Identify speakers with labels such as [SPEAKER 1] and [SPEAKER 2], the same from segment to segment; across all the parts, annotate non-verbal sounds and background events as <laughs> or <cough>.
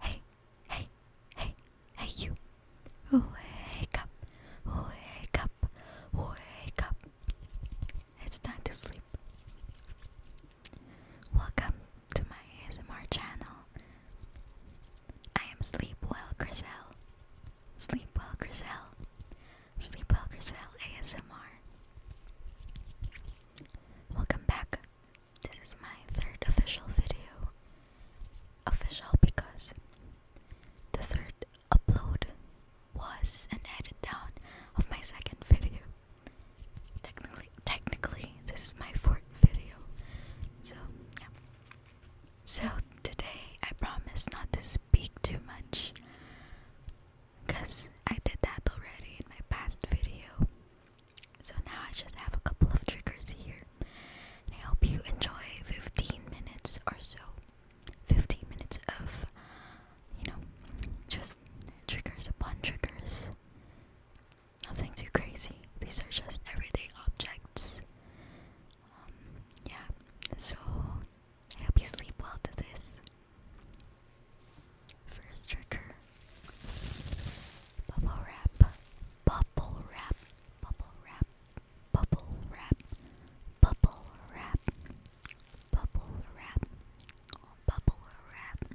[SPEAKER 1] Hey, hey, hey, hey, you. Wake up, wake up, wake up. It's time to sleep. Welcome to my ASMR channel. I am Sleep Well Grizel. Sleep Well Grizel. Sleep Well Grizel ASMR. Welcome back this is my third official video. Official because the third upload was an edit down of my second video. Technically, technically, this is my fourth video. So, So, today I promise not to speak too much because I did that already in my past video. So now I just have a couple of triggers here. And I hope you enjoy 15 minutes or so. 15 minutes of, you know, just triggers upon triggers. Nothing too crazy. These are just everyday objects. Um, yeah, so I hope you sleep well to this. First trigger Bubble wrap, bubble wrap, bubble wrap, bubble wrap, bubble wrap, bubble wrap, bubble wrap.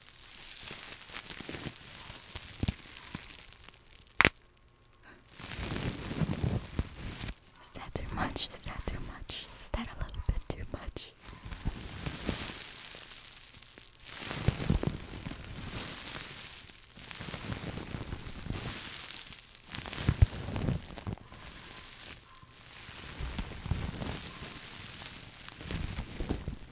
[SPEAKER 1] Is that too much? Is that too much? Is that a little bit too much?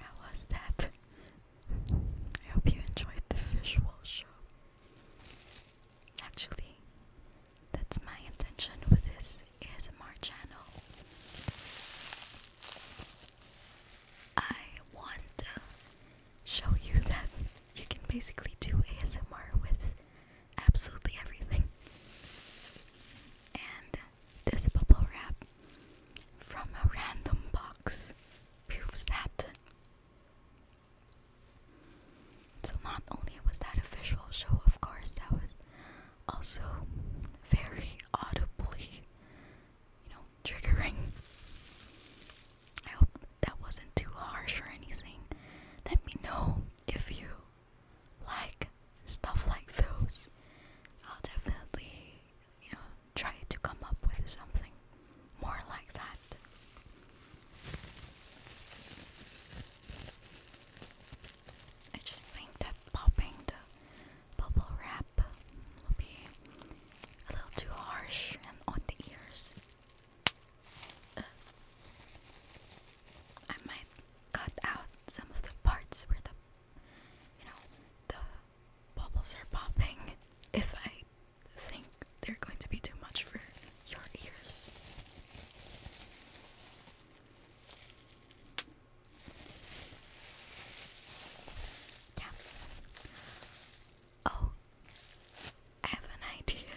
[SPEAKER 1] How was that? I hope you enjoyed the visual show. Actually, that's my intention with this ASMR channel. I want to show you that you can basically do ASMR with absolutely everything. And this bubble wrap from a random box proves that. So not only was that a visual show, of course, that was also very audibly, you know, triggering. I hope that wasn't too harsh or anything. Let me know if you like stuff like those, I'll definitely, you know, try to come up with something more like that. I just think that popping the bubble wrap will be a little too harsh and on the ears. I might cut out some of the parts where the you know the bubbles are popping <laughs> if I think they're going to be too much for your ears. Yeah. Oh, I have an idea.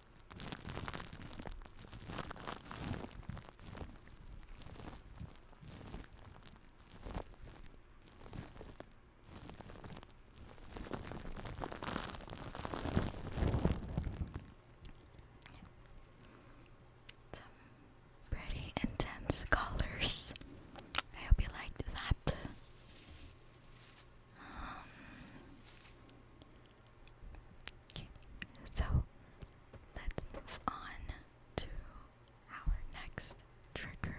[SPEAKER 1] Some pretty intense colors. I hope you liked that. Um, so let's move on to our next trigger,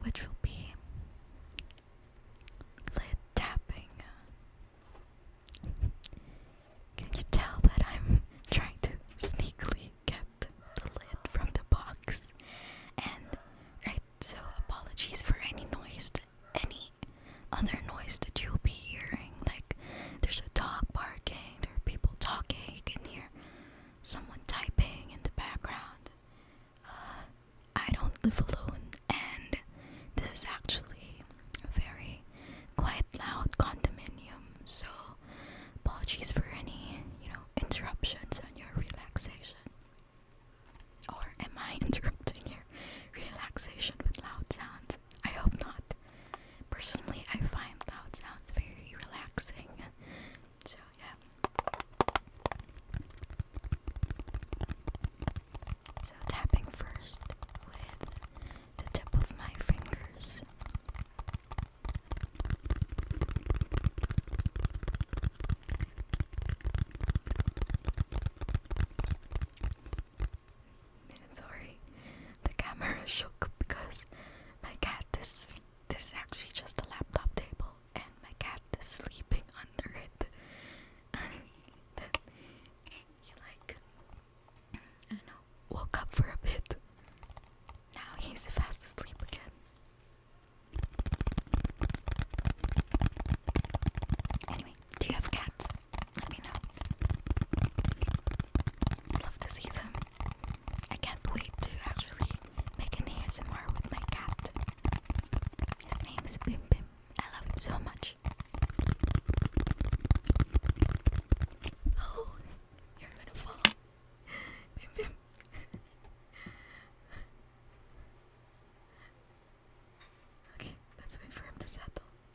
[SPEAKER 1] which will be lid tapping. Can you tell that I'm trying to sneakily get the lid from the box? And right, so apologies for any noise any other noise that you'll be hearing. Like there's a dog barking, there are people talking, you can hear someone typing in the background. Uh, I don't live alone, and this is actually a very quite loud condominium. So apologies for any you know interruptions on your relaxation. Or am I <laughs> interrupting your relaxation with loud sounds? I hope not. Personally, I find loud sounds very relaxing. So, yeah. So, tapping first with the tip of my fingers. Sorry, the camera <laughs> shook because my cat this this is actually just a laptop table and my cat is sleeping <laughs> under it. <laughs> then he like I don't know woke up for a bit. Now he's fast asleep again. Anyway, do you have cats? Let me know. i love to see them. I can't wait to actually make an ASMR with my cat. His name is Bim Bim. I love him so much. Oh, you're gonna fall. Bim Bim. Okay, let's wait for him to settle.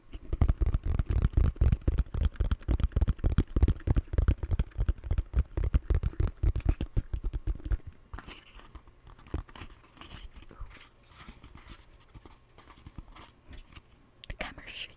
[SPEAKER 1] The camera's shaking.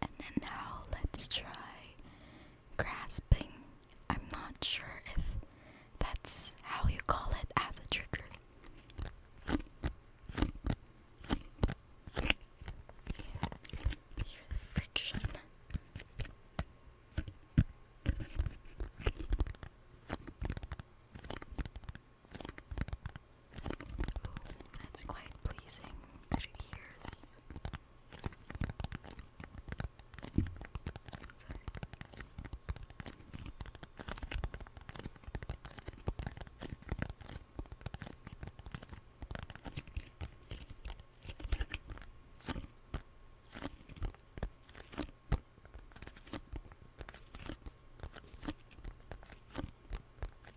[SPEAKER 1] And then now let's try grasping. I'm not sure if that's how you call it as a trigger. Hear the friction. That's quite pleasing to the Sorry.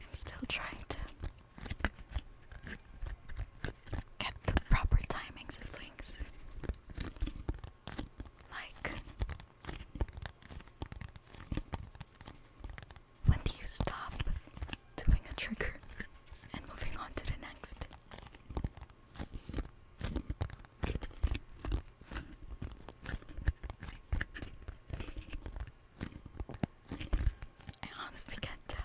[SPEAKER 1] I'm still trying to get the proper timings of things. Like when do you stop doing a trigger and moving on to the next? I honestly can't tell.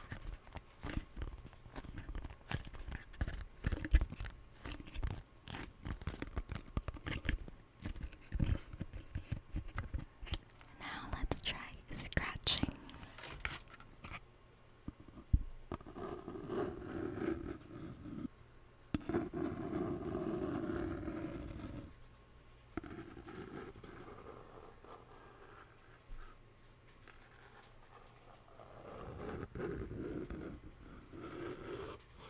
[SPEAKER 1] Now let's try scratching.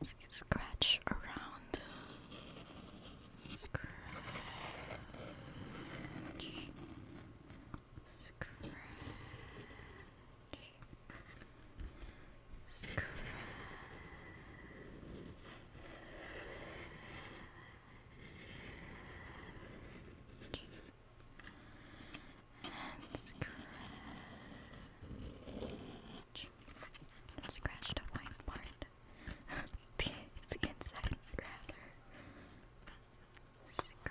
[SPEAKER 1] Let's scratch around. Scratch. Scratch. Scratch and scratch and scratch the white part <laughs> the, rather scratch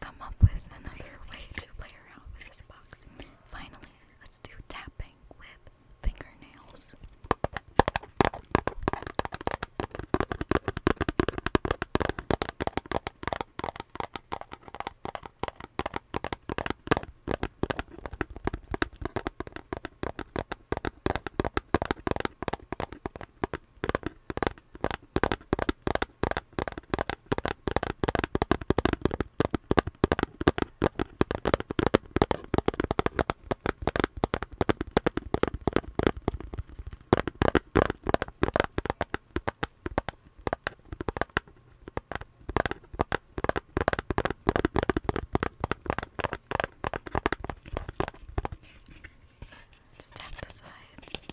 [SPEAKER 1] come up with another way to play around with this box. Finally, let's do tapping with fingernails. Let's tap the sides.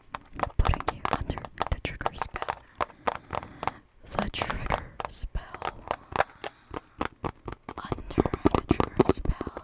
[SPEAKER 1] putting you under the trigger spell. The trigger spell. Under the trigger spell.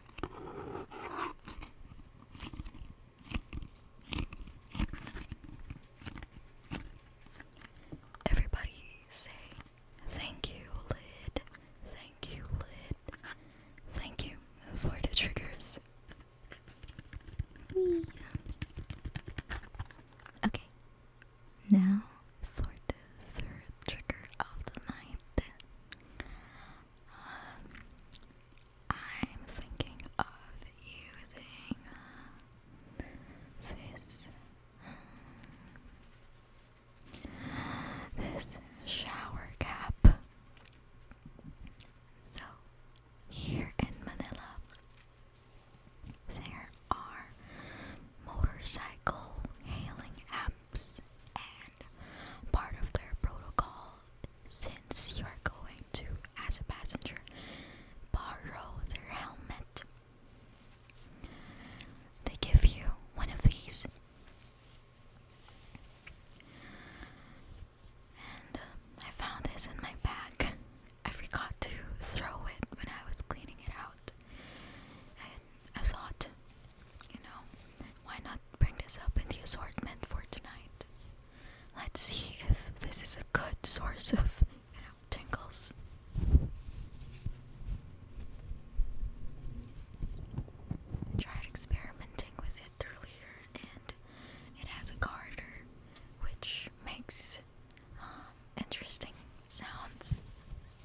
[SPEAKER 1] Everybody say thank you, Lid. Thank you, Lid. Thank you for the triggers. Okay, now for the third trigger of the night. Um, I'm thinking of using uh, this this shower cap. So here in Manila there are motorcycle hailing apps and part of their protocol since you're going to, as a passenger, borrow their helmet. They give you one of these. And uh, I found this in my bag. I forgot to throw it when I was cleaning it out. I, I thought you know, why not bring this up in the assortment for tonight? Let's see if this is a good source of, you know, tingles. tried experimenting with it earlier, and it has a garter which makes um, interesting sounds.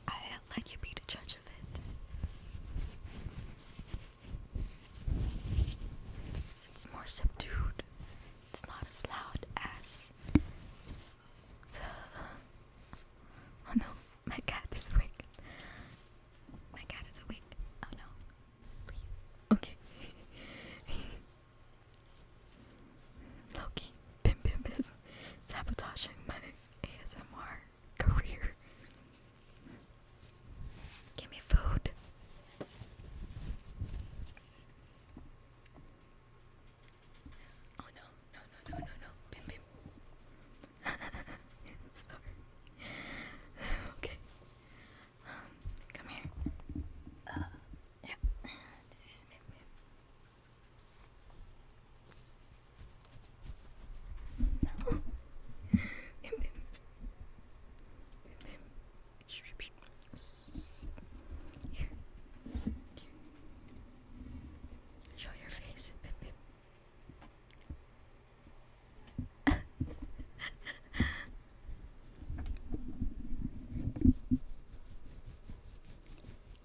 [SPEAKER 1] I'll let you be the judge of it it's more subdued. It's not as loud as Oh no, my cat is awake. My cat is awake. Oh no. Please. Okay. <laughs> Loki, Bim Bim is sabotaging my ASMR career. Give me food. Oh no, no, no, no, no, no. Bim, bim. <laughs> Sorry. okay. Um, come here. Uh, yeah. This is Bim, bim. No. <laughs> bim, bim. Show your face. <laughs>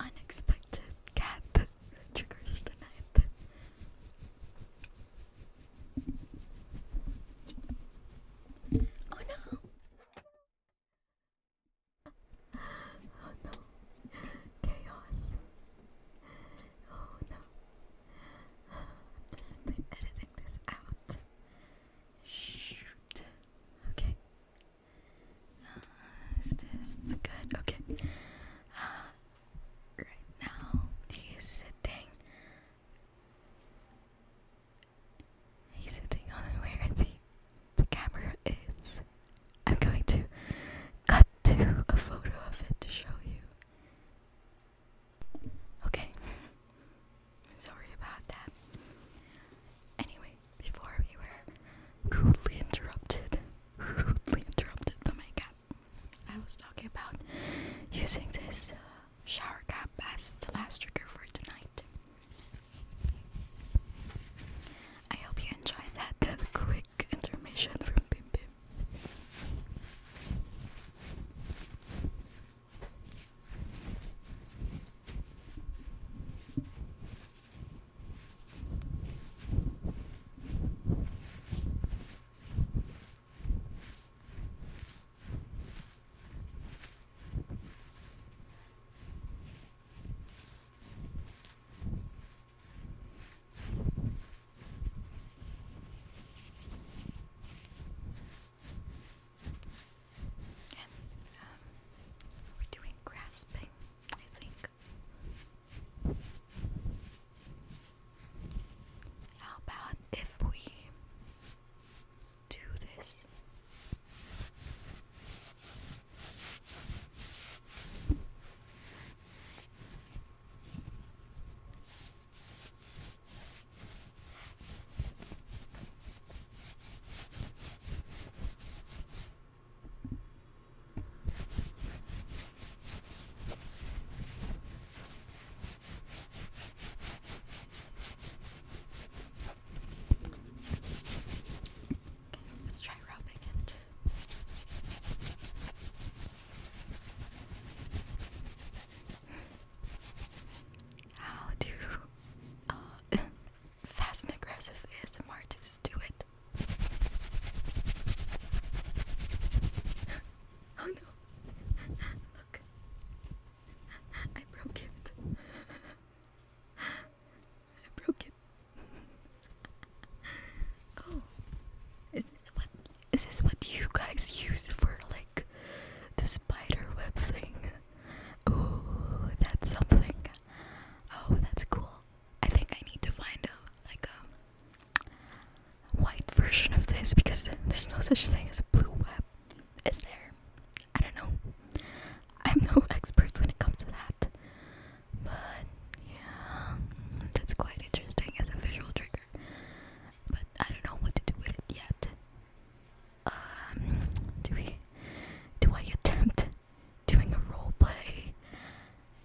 [SPEAKER 1] Unexpected cat triggers the night. Oh no! Oh no! Chaos! Oh no! i editing this out. Shoot. Okay. is this good? Okay. Uh, right now, he is sitting He's sitting on where the, camera is. I'm going to cut to a photo of it to show you. Okay. <laughs> Sorry about that. Anyway, before we were rudely interrupted, <laughs> rudely interrupted by my I was talking about using this uh, shower cap as the last trigger for tonight. I hope you enjoyed that uh, <laughs> quick intermission from Bim Bim. And um, we're doing grasping, I think. How about if we do this? Let's try rubbing it. How do uh, <laughs> fast and aggressive ASMR artists do it? <laughs> oh no, I broke it. I broke it. oh. Is this what is this what you guys use for like the spider web thing? Oh, that's something. Oh, that's cool. I think I need to find a like a um, white version of this because there's no such thing as a blue web. Is there? I don't know. I'm no <laughs> expert when it comes to that. But yeah, that's quite interesting as a visual trigger. But I don't know what to do with it yet. Um, do we? Do I attempt doing a role play?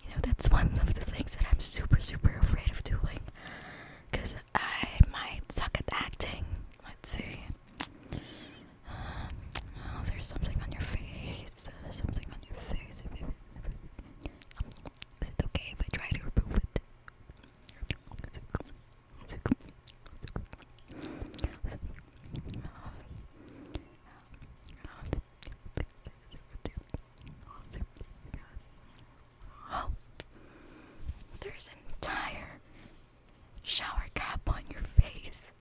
[SPEAKER 1] You know, that's one of the things that I'm super, super afraid of doing. Because I might suck at acting. Let's see. Um, oh, there's something on your face. something on your face. Is okay if I try to remove it? Oh, there's an entire shower cap on your face.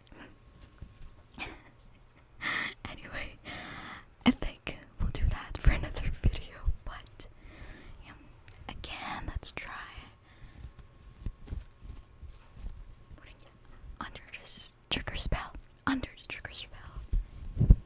[SPEAKER 1] <laughs> anyway, I think we'll do that for another video, but um, again, let's try under this trigger spell. Under the trigger spell.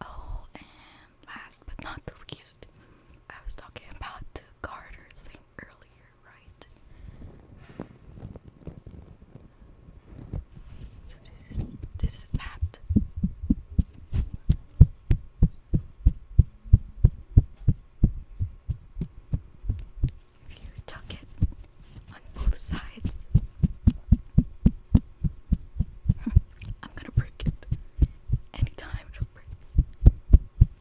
[SPEAKER 1] Oh, and last but not least, I was talking about the garter thing earlier clear, So this is this is mapped. If you tuck it on both sides, <laughs> I'm gonna break it. Anytime it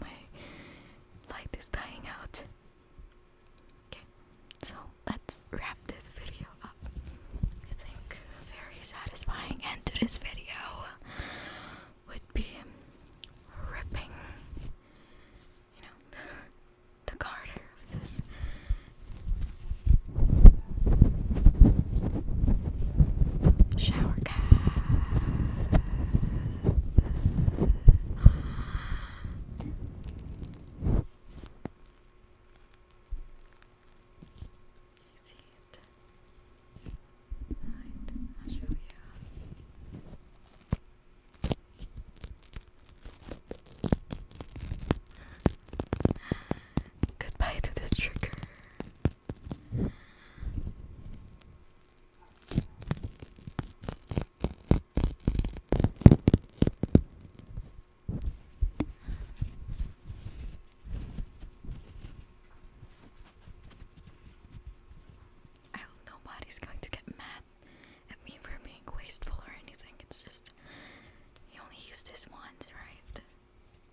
[SPEAKER 1] my light is dying out. Okay, so let's wrap this video up. I think very satisfying end to this video would be ripping, you know, <laughs> the garter of this. Shower see it? Right, I'll show you. Goodbye to this trigger. I hope nobody's going to get mad at me for being wasteful or anything. It's just, you only used this once, right?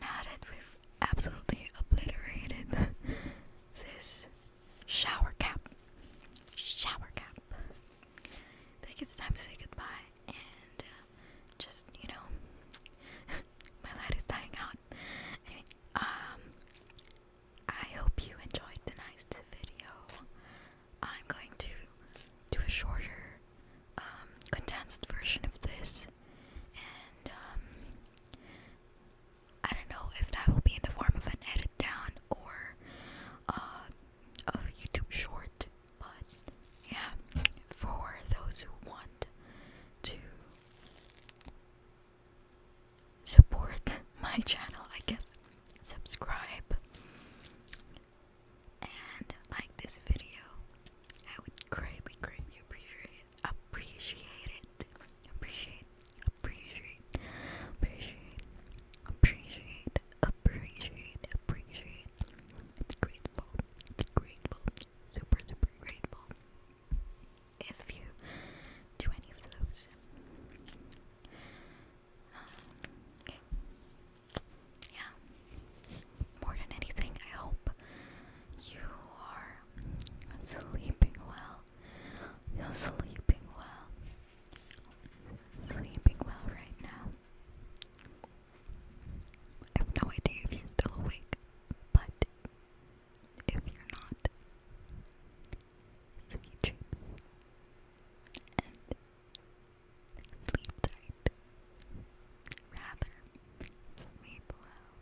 [SPEAKER 1] Now that we've absolutely obliterated this shower cap, shower cap, I think it's time to say goodbye and uh, just, you know, <laughs> my light is dying out um I hope you enjoyed tonight's video. I'm going to do a shorter, um, condensed version of this, and um, I don't know if that will be in the form of an edit down or uh, a YouTube short, but yeah, for those who want to support my channel, I guess, subscribe and like this video. I would greatly, greatly appreciate appreciate it. Appreciate, appreciate, appreciate, appreciate, appreciate, appreciate. It's grateful, it's grateful, super, super grateful if you do any of those. Um, yeah. More than anything, I hope you are sleeping well. You're sleeping well. Sleeping well right now. I have no idea if you're still awake, but if you're not, sweet dreams, and sleep tight. Rather, sleep well.